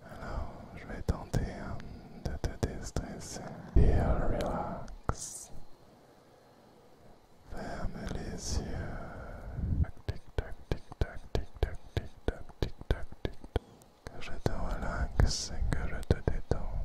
Alors, je vais tenter hein, de te déstresser et relax. Ferme les yeux. Tic tac, tic tac, tic tac, tic tac, tic tac, tic tac. Que je te relaxe et que je te détends.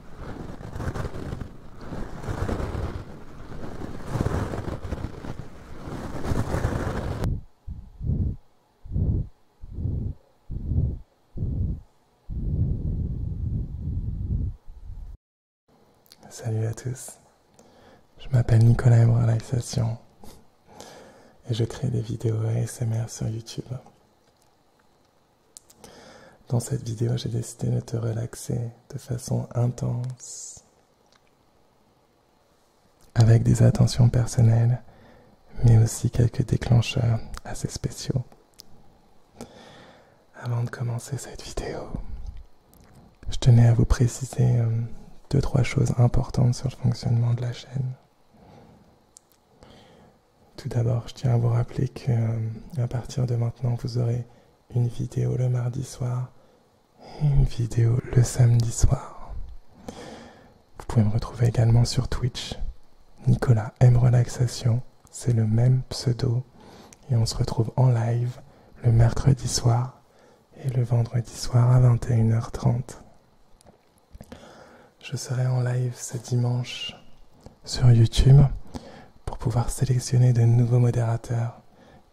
Salut à tous, je m'appelle Nicolas Relaxation et je crée des vidéos ASMR sur YouTube. Dans cette vidéo, j'ai décidé de te relaxer de façon intense, avec des attentions personnelles, mais aussi quelques déclencheurs assez spéciaux. Avant de commencer cette vidéo, je tenais à vous préciser euh, deux, trois choses importantes sur le fonctionnement de la chaîne. Tout d'abord, je tiens à vous rappeler que euh, à partir de maintenant, vous aurez une vidéo le mardi soir et une vidéo le samedi soir. Vous pouvez me retrouver également sur Twitch. Nicolas M Relaxation, c'est le même pseudo et on se retrouve en live le mercredi soir et le vendredi soir à 21h30. Je serai en live ce dimanche sur YouTube pour pouvoir sélectionner de nouveaux modérateurs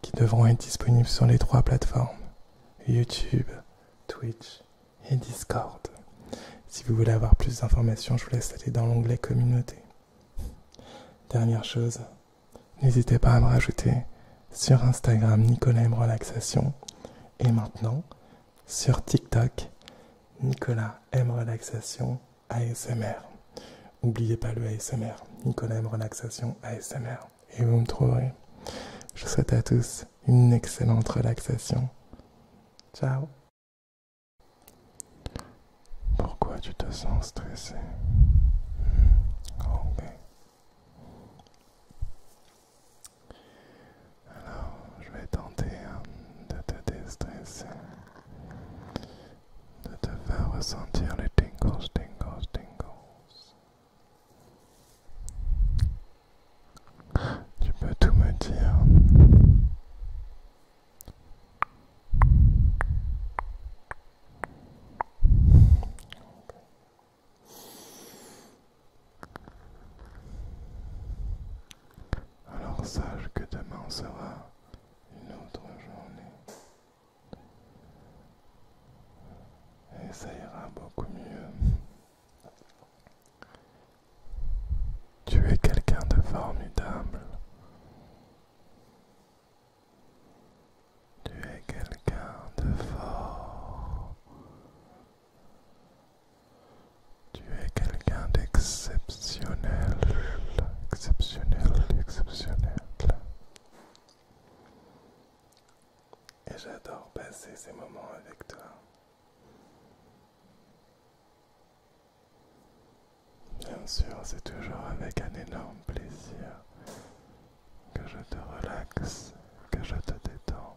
qui devront être disponibles sur les trois plateformes YouTube, Twitch et Discord. Si vous voulez avoir plus d'informations, je vous laisse aller dans l'onglet communauté. Dernière chose, n'hésitez pas à me rajouter sur Instagram Nicolas Relaxation et maintenant sur TikTok Nicolas Relaxation ASMR. N'oubliez pas le ASMR, Nicolas Relaxation ASMR. Et vous me trouverez. Je souhaite à tous une excellente relaxation. Ciao Pourquoi tu te sens stressé Ok. Hmm, Alors, je vais tenter hein, de te déstresser de te faire ressentir les tingles, tingles, tingles. Tu peux tout me dire. Alors sache que demain sera une autre journée. Et ça ira beaucoup mieux. Tu es quelqu'un de formidable. Tu es quelqu'un de fort. Tu es quelqu'un d'exceptionnel, exceptionnel, exceptionnel. Et j'adore passer ces moments avec toi. Bien sûr, c'est toujours avec un énorme plaisir que je te relaxe, que je te détends.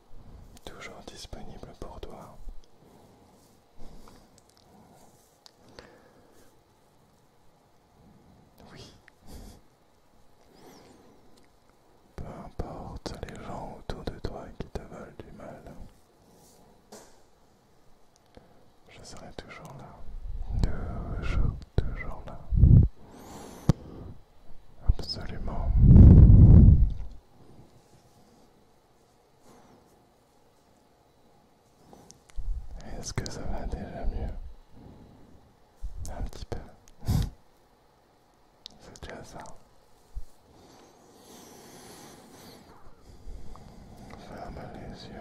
toujours disponible pour toi. Oui. Peu importe les gens autour de toi qui te veulent du mal, je serai toujours là. Toujours, toujours là. Absolument. Est-ce que ça va déjà mieux Un petit peu. C'est déjà ça. Ferme les yeux.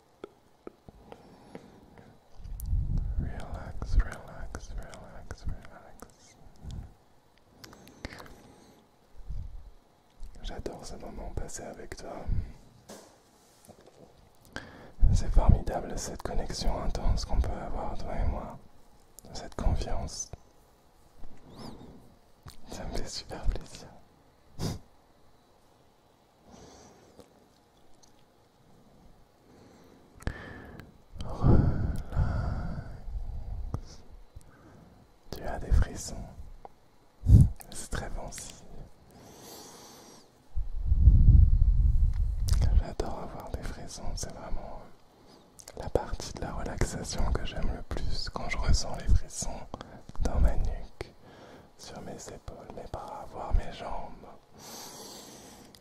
Relax, relax, relax, relax. J'adore ce moment passé avec toi. C'est formidable cette connexion intense qu'on peut avoir, toi et moi. Cette confiance. Ça me fait super plaisir. Tu as des frissons. C'est très bon J'adore avoir des frissons, c'est vraiment euh, la partie de la relaxation que j'aime le plus quand je ressens les frissons dans ma nuque sur mes épaules, mes bras, voire mes jambes.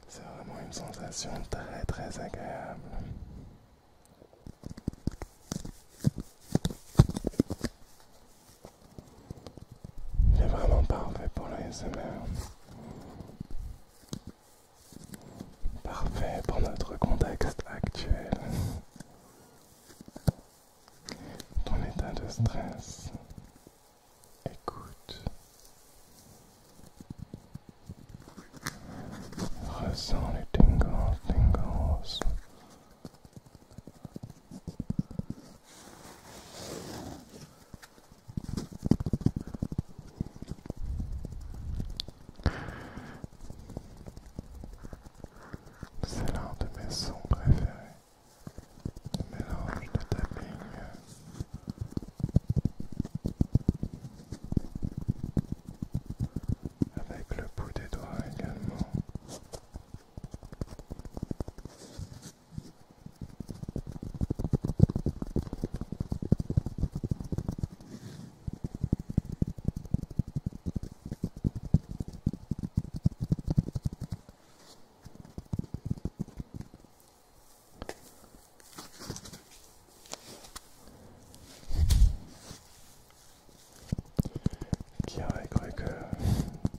C'est vraiment une sensation très très agréable. Il est vraiment parfait pour SMR Parfait pour notre contexte actuel ton état de stress. Écoute. Ressens les tingles, tingles. C'est l'un de mes sons préférés mélange de tapping avec le bout des doigts également. Qui aurait cru que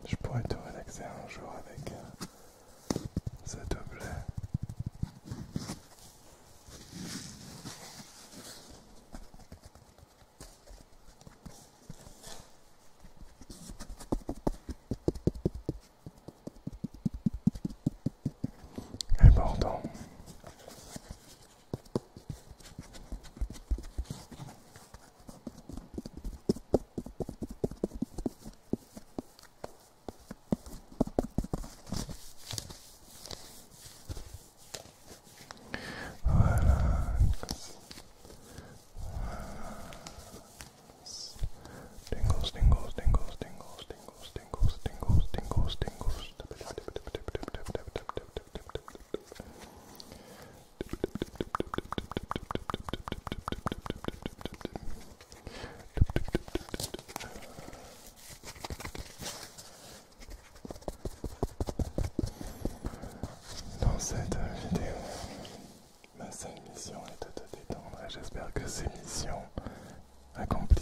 je pourrais te relaxer un jour avec euh, cet objet important. Relax. Relax. Tingles, tingles, tingles, tingles, tingles, tingles, tingles, tingles, tingles. Relax. Dans cette vidéo, ma seule mission est de te détendre et j'espère que ces missions accomplie.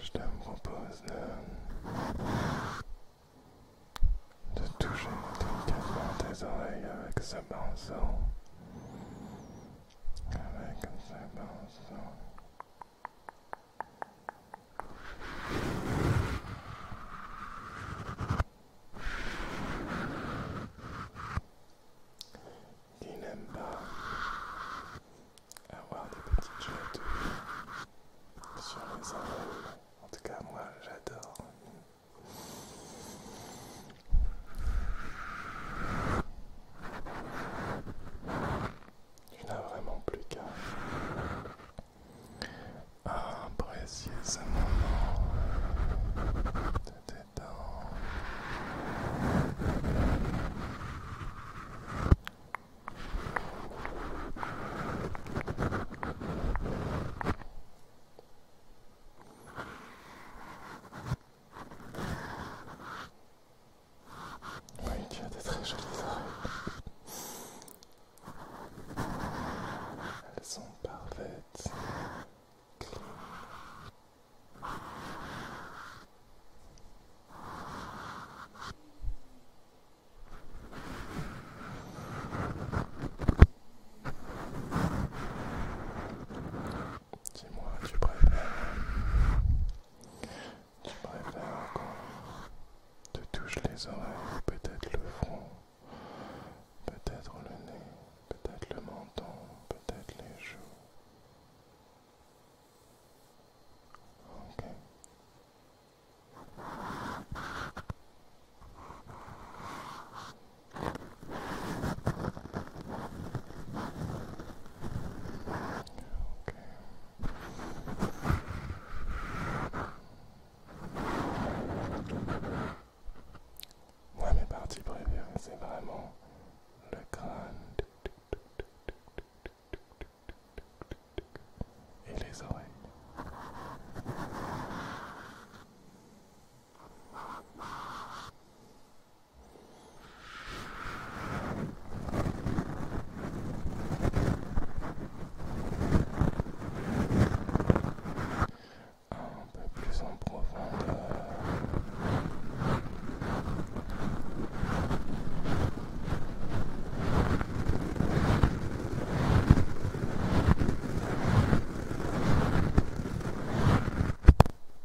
Je te propose de, toucher délicatement tes oreilles avec ce pinceau. Avec ce pinceau. Il n'aime pas avoir des petites chutes sur les oreilles. En tout cas, moi, j'adore. Tu n'as vraiment plus qu'à apprécier ce moment de détente. Oui, tu as des très jolies oreilles. Elles sont parfaites. Dis-moi, tu préfères tu préfères encore te touche les oreilles, peut-être le front, peut-être le nez, peut-être le menton, peut-être les joues. Ok. Moi, mes parties préférées, c'est vraiment le crâne et les oreilles. Un peu plus en profondeur.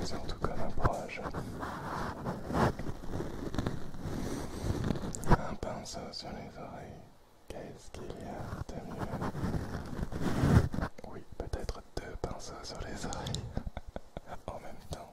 Mais en tout cas proche. Un pinceau sur les oreilles, qu'est-ce qu'il y a de mieux Oui, peut-être deux pinceaux sur les oreilles en même temps.